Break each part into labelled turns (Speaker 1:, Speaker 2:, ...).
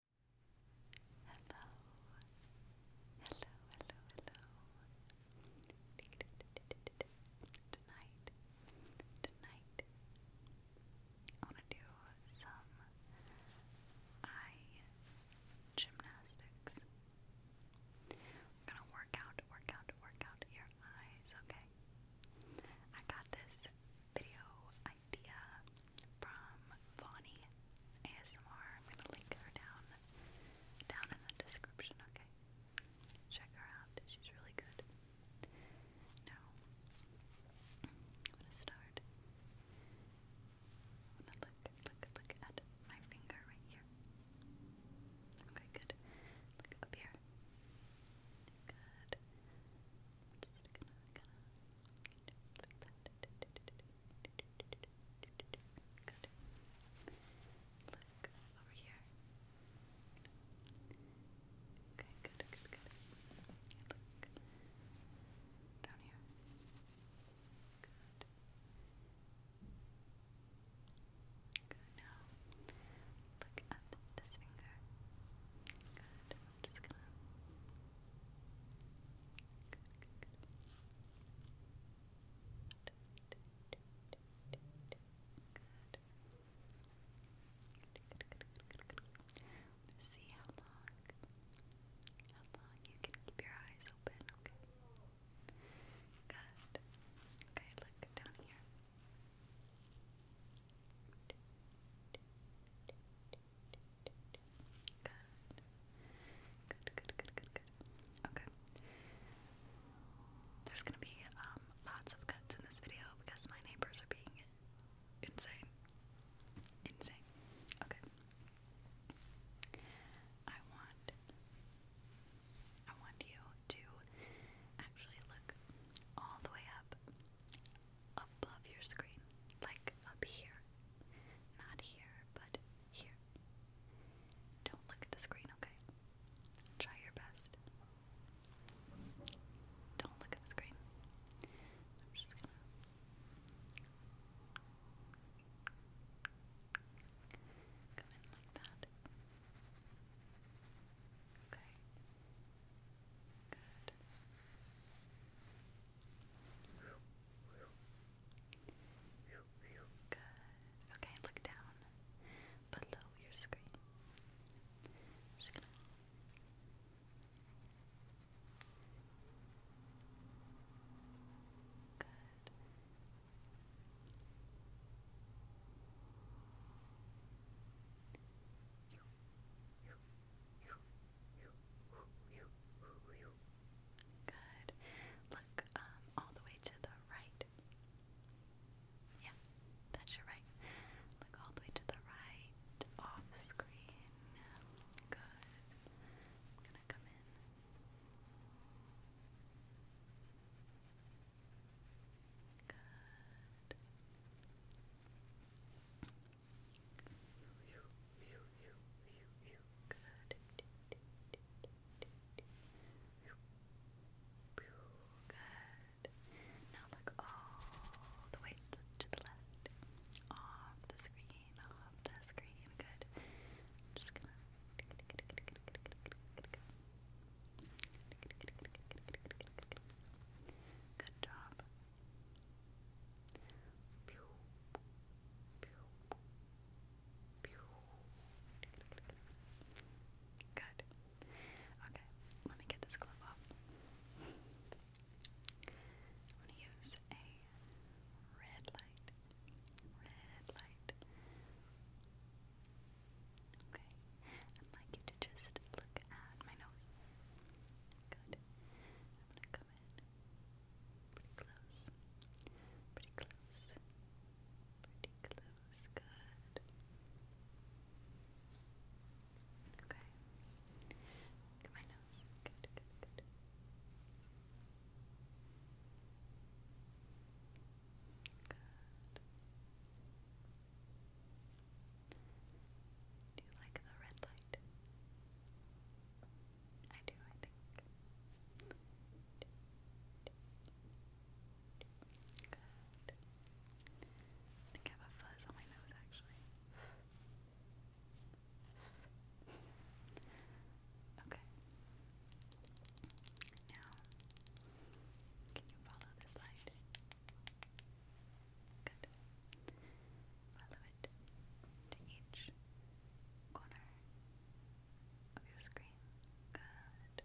Speaker 1: Hello, hello, hello, hello. Tonight, tonight, I want to do some eye gymnastics. I'm gonna work out, work out, work out your eyes, okay? I got this video idea from Vonnie ASMR. I'm gonna link her down down in the description, okay? Check her out. She's really good. Now I'm gonna start. I'm gonna look, look, look at my finger right here. Okay, good. Look up here. Good. I'm just gonna, gonna Good. Look over here. Okay, good, good, good. Look down here. Good. Good. Now look at this finger. Good. I'm just gonna. Good, good, good. Good. Good, good, good, good, good. I'm gonna see how long, how long you can keep your eyes open. Okay. Good. Okay, look down here. Good. Good, There's gonna be um lots of cuts in this video because my neighbors are being insane. Insane. Okay. I want I want you to actually look all the way up above your screen, like up here. Not here, but here. Don't look at the screen, okay? Try your best. Don't look at the screen. I'm just gonna. Come in like that. Okay. Good. Good. Okay, look down below your screen. Good. you, Good. Look um, all the way to the right. Yeah, that's your right. Look all the way to the right, off screen. Good. I'm gonna come in. Good. Good. Now look all the way to the left. Off the screen. Off the screen. Good. just gonna Good job. Pew, Good. Okay, let me get this glove off. I'm gonna use a red light. Red light. Okay. I'd like you to just look at my nose. Good. I'm gonna come in. Pretty close. Pretty close. Pretty close. Good. Okay. my nose. Good, good, good. Good. Do you like the red light? right? I do, I think. Good. I think I have a fuzz on my nose actually. Okay. Now, can you follow this light? Good. Follow it to each corner of your screen. Good.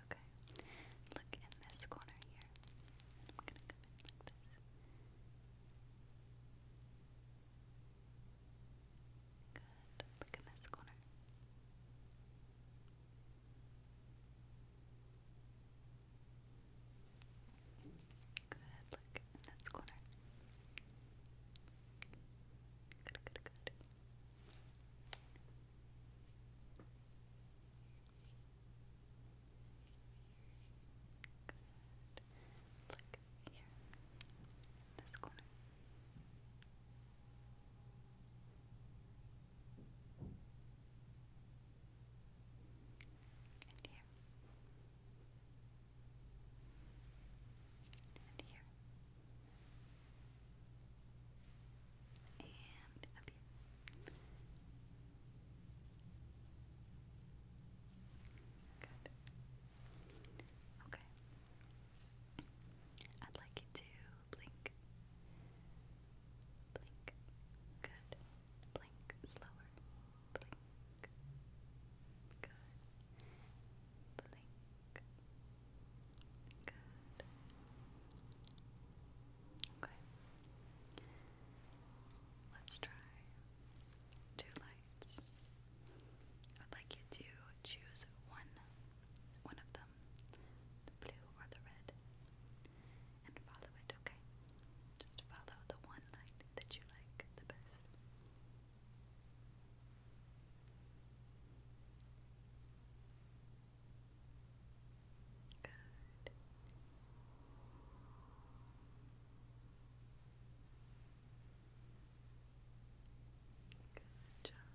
Speaker 1: Okay. Look in this corner here. I'm gonna come in like this. Good. Look in this corner. Good, look in this corner. Good, good, good. Look here. this corner. And here. And here. And up here. Good. Okay. I'd like you to blink. Blink. Good. Blink slower. Blink. Good. Blink. Good. Okay. Let's try two lights. I'd like you to choose one one of them, blue or the red, and follow it, okay? Just follow the one light that you like the best. Good. Good job.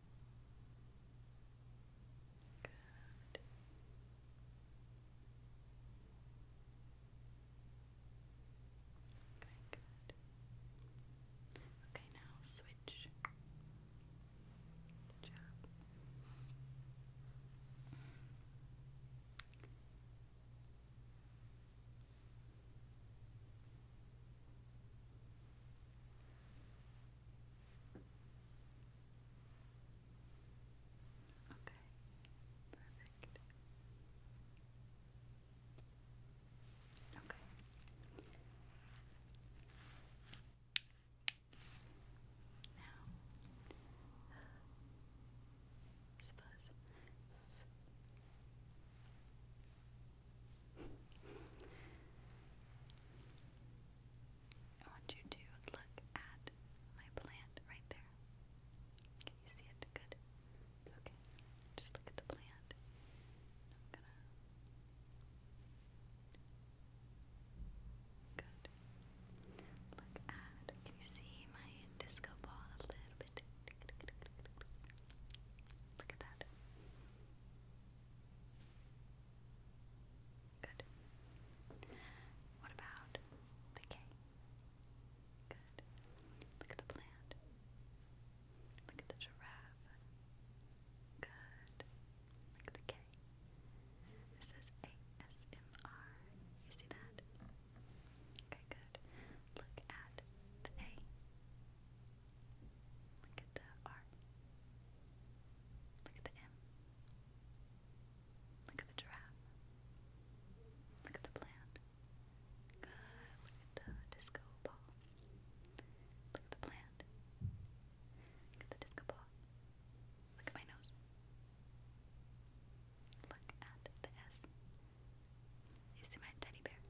Speaker 1: Good. Okay, Okay, now switch. Good job. Okay, perfect. Okay. Now, suppose I want you to look at my plant right there. Can you see it? Good. Okay. Just look at the plant. Good. Look at. Can you see my disco ball a little bit? Look at that. Good. What about the K? Good. Look at the plant. Look at the giraffe. Good. Look at the K. This says ASMR. You see that? Okay, good. Look at the A. Look at the R. Look at the M. Look at the giraffe. Look at the plant. look at the disco ball. Look at the plant. Look at the disco ball. Look at my nose. Look at the S. You see my teddy bear?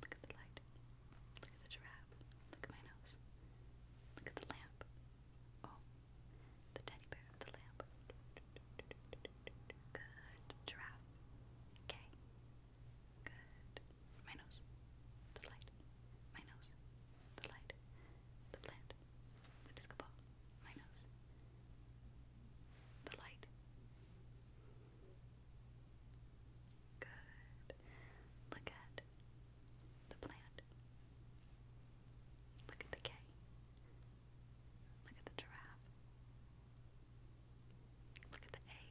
Speaker 1: Look at the light. Look at the giraffe. Look at my nose. Look at the lamp. Oh, the teddy bear, the lamp. Good. Giraffe. Okay. Good. My nose. The light. My nose. The light. The plant. The disco My nose. The light. Good. Look at the plant. Look at the K. Look at the giraffe. Look at the A.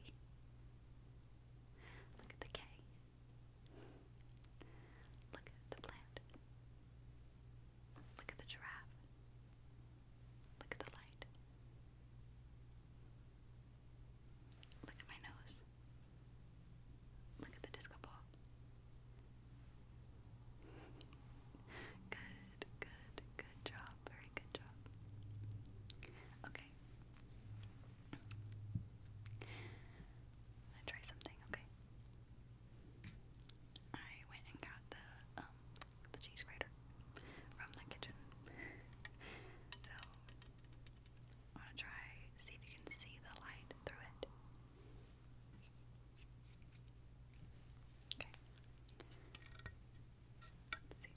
Speaker 1: Look at the K. Look at the plant. Look at the giraffe. Look at the light. Look at my nose. Look at the disco ball. good, good, good job. Very good job. Okay. i try something, okay? I went and got the um, the cheese grater from the kitchen. so, I want to try, see if you can see the light through it. Okay. Let's see. Okay. You can.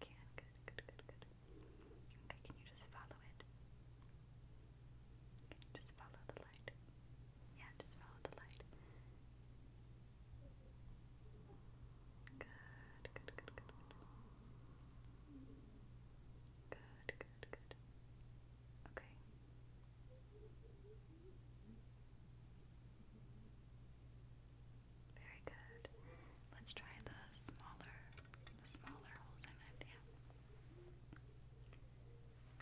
Speaker 1: Good, good, good, good. Okay, can you just follow it? just follow the light? Yeah, just follow the light. Good, good, good, good, good. Good, good, good. Okay. Very good out. Let's try the smaller, the smaller holes in it. Yeah.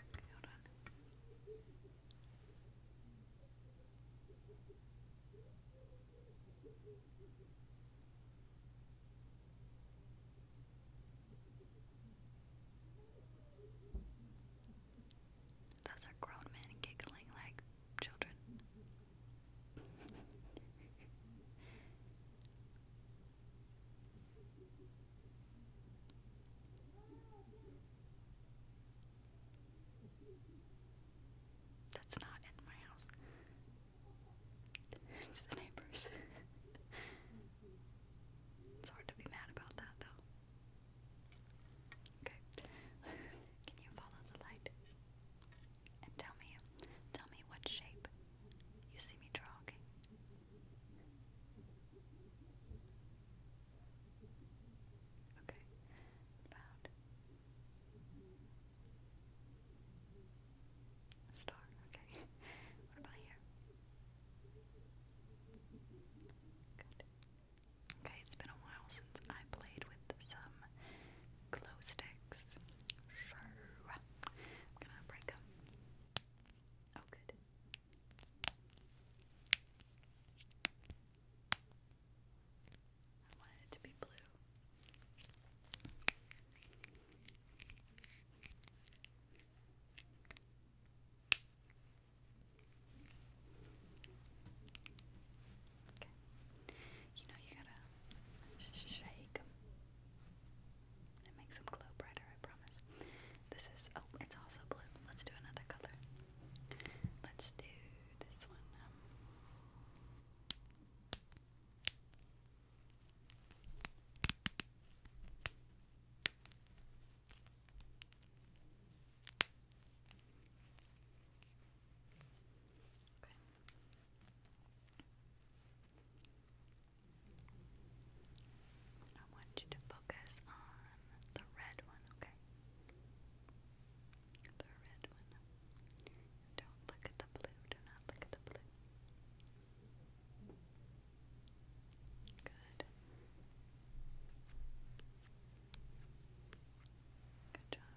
Speaker 1: Okay, hold on. Those are grown men giggling like children. That's not in my house. It's the neighbors. it's hard to be mad about that though. Okay. Can you follow the light? And tell me tell me what shape you see me draw, okay? Okay, star, okay. what about here? Good. Okay, it's been a while since I played with some glow sticks. Sure. I'm gonna break them. Oh, good. I wanted it to be blue. Okay. You know you gotta shake. It makes them glow brighter, I promise. This is, oh, it's also blue. Let's do another color. Let's do this one. Um, I want you to focus on the red one, okay? The red one. Don't look at the blue. Do not look at the blue. Good. Good job.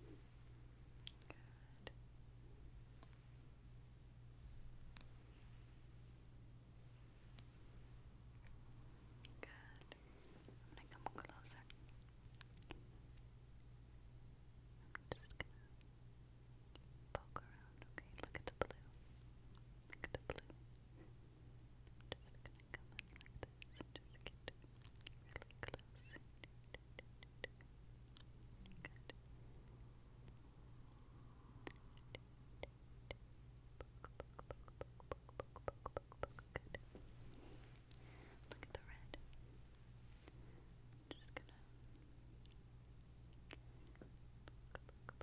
Speaker 1: Good. Good. I'm gonna come closer. I'm just gonna poke around, okay? Look at the blue. Look at the blue. Just gonna come in like this and just get really close. Good. Good. Look at the red. I'm just gonna. Poke, poke, poke.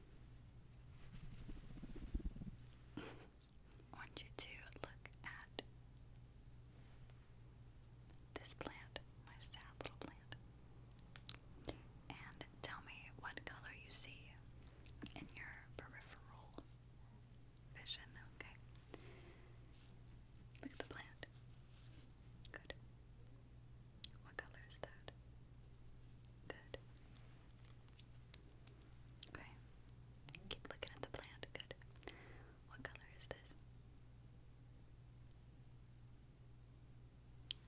Speaker 1: I want you to look at this plant, my sad little plant, and tell me what color you see in your peripheral vision, okay? Look at the plant. Good. What color is that? Good. Okay. Keep looking at the plant. Good. What color is this?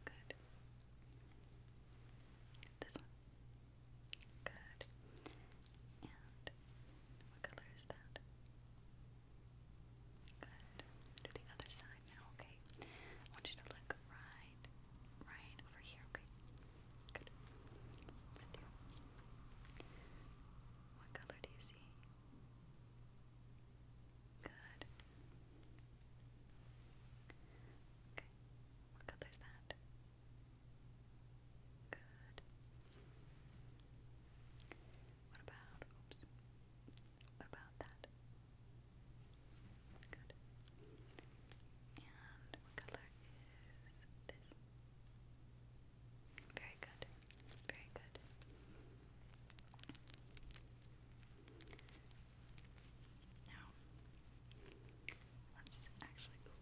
Speaker 1: Good. This one. Good. And what color is that? Good. Do the other side now, okay? okay? I want you to look right, right over here, okay? Good. What color do you see? Good. Okay. What color is that? Good. What about, oops, about that? Good. And Very good. Very good. Now, let's actually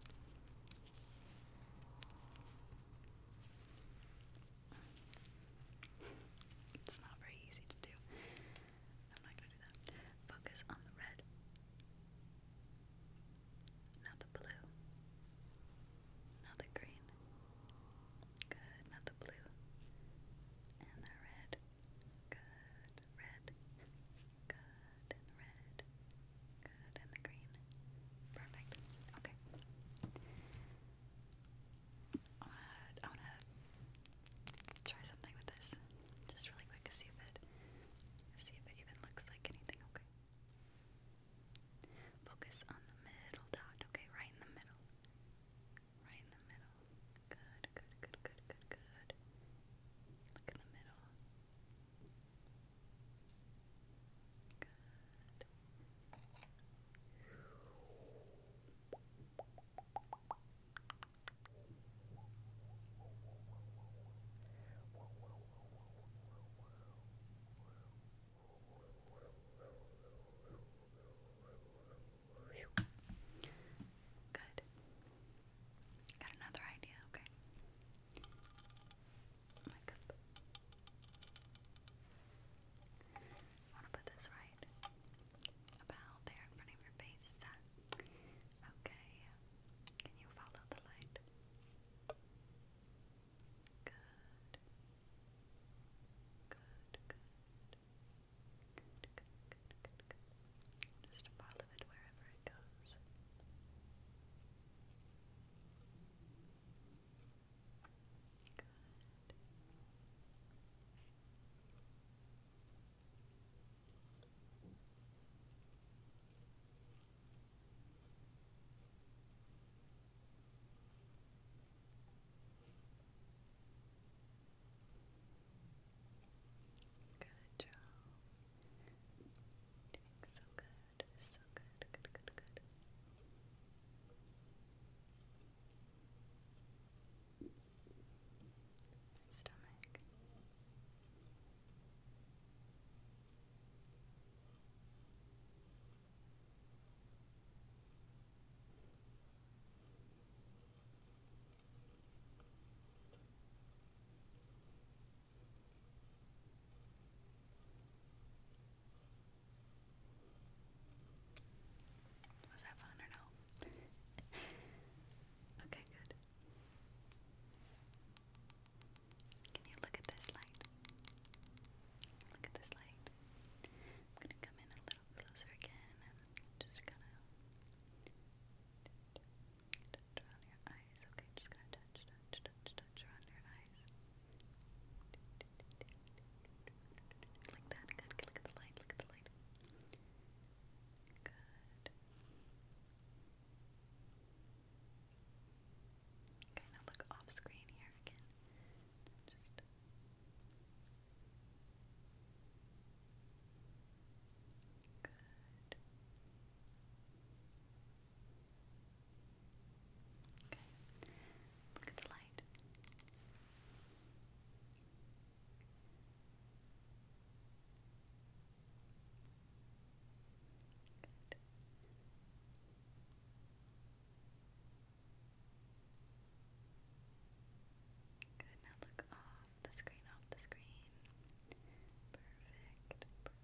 Speaker 1: It's not very easy to do. I'm not gonna do that. Focus on the red, not the blue, not the green. Good, not the blue, and the red. Good, red, good, and red, good, and the green. Perfect. Okay. I want to try something with this, just really quick, see if it, see if it even looks like anything. Okay. Focus on the middle dot. Okay, right in the middle. Right in the middle. Good, good, good, good, good, good. Look in the middle. Good. Good. Got another idea, okay. My cup. I want to put this right about there in front of your face. Uh, Okay. Can you follow the light? Good. Good, good. Good, good, good, Just follow it wherever it goes. Good. Good job. Doing so good. So good. Good, good, good my stomach. Was that fun or no? okay, good. Can you look at this light? Look at this light. I'm gonna come in a little closer again. just gonna touch around your eyes. Okay, just gonna touch, touch, touch around your eyes. Like that. Good. Look at the light. Look at the light. Good. Kind of look off screen here again. Just good. Okay. Look at the light. Good. Good, now look off the screen, off the screen. Perfect, perfect, perfect.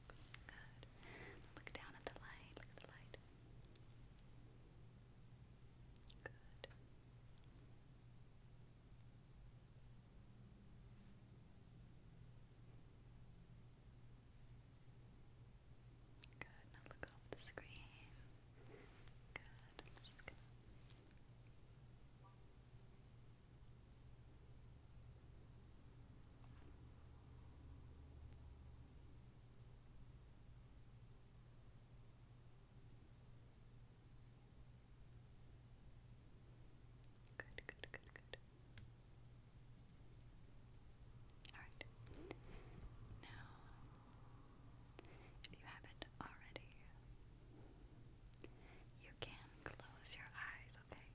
Speaker 1: Good. Look down at the light. Look at the light. Good. Good. Now look off the screen. Good. Good. Good, good, good, good. Alright. Now, if you haven't already, you can close your eyes, okay?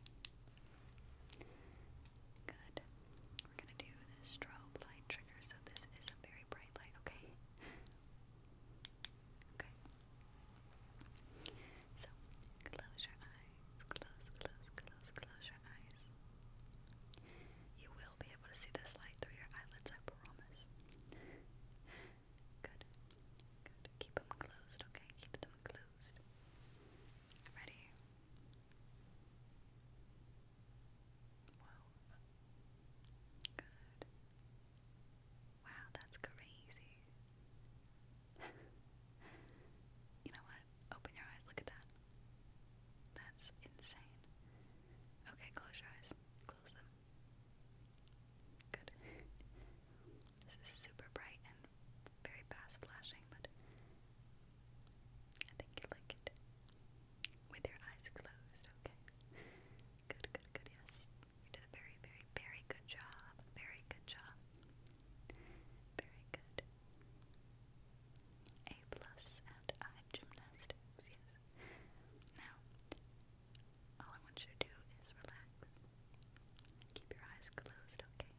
Speaker 1: Good. We're gonna do the strobe light trigger, so this is a very bright light, okay? Okay. So, close your eyes. Close, close, close, close your eyes. You will be able to see this light through your eyelids, I promise. Good. Good. Keep them closed, okay? Keep them closed. Ready? Wow. Good. Wow, that's crazy. you know what? Open your eyes. Look at that. That's insane. Okay, close your eyes. Close them. Good. This is super bright and very fast flashing, but I think you like it with your eyes closed, okay? Good, good, good, yes. You did a very, very, very good job. Very good job. Very good. A plus and eye gymnastics, yes. Now, all I want you to do is relax. Keep your eyes closed, okay?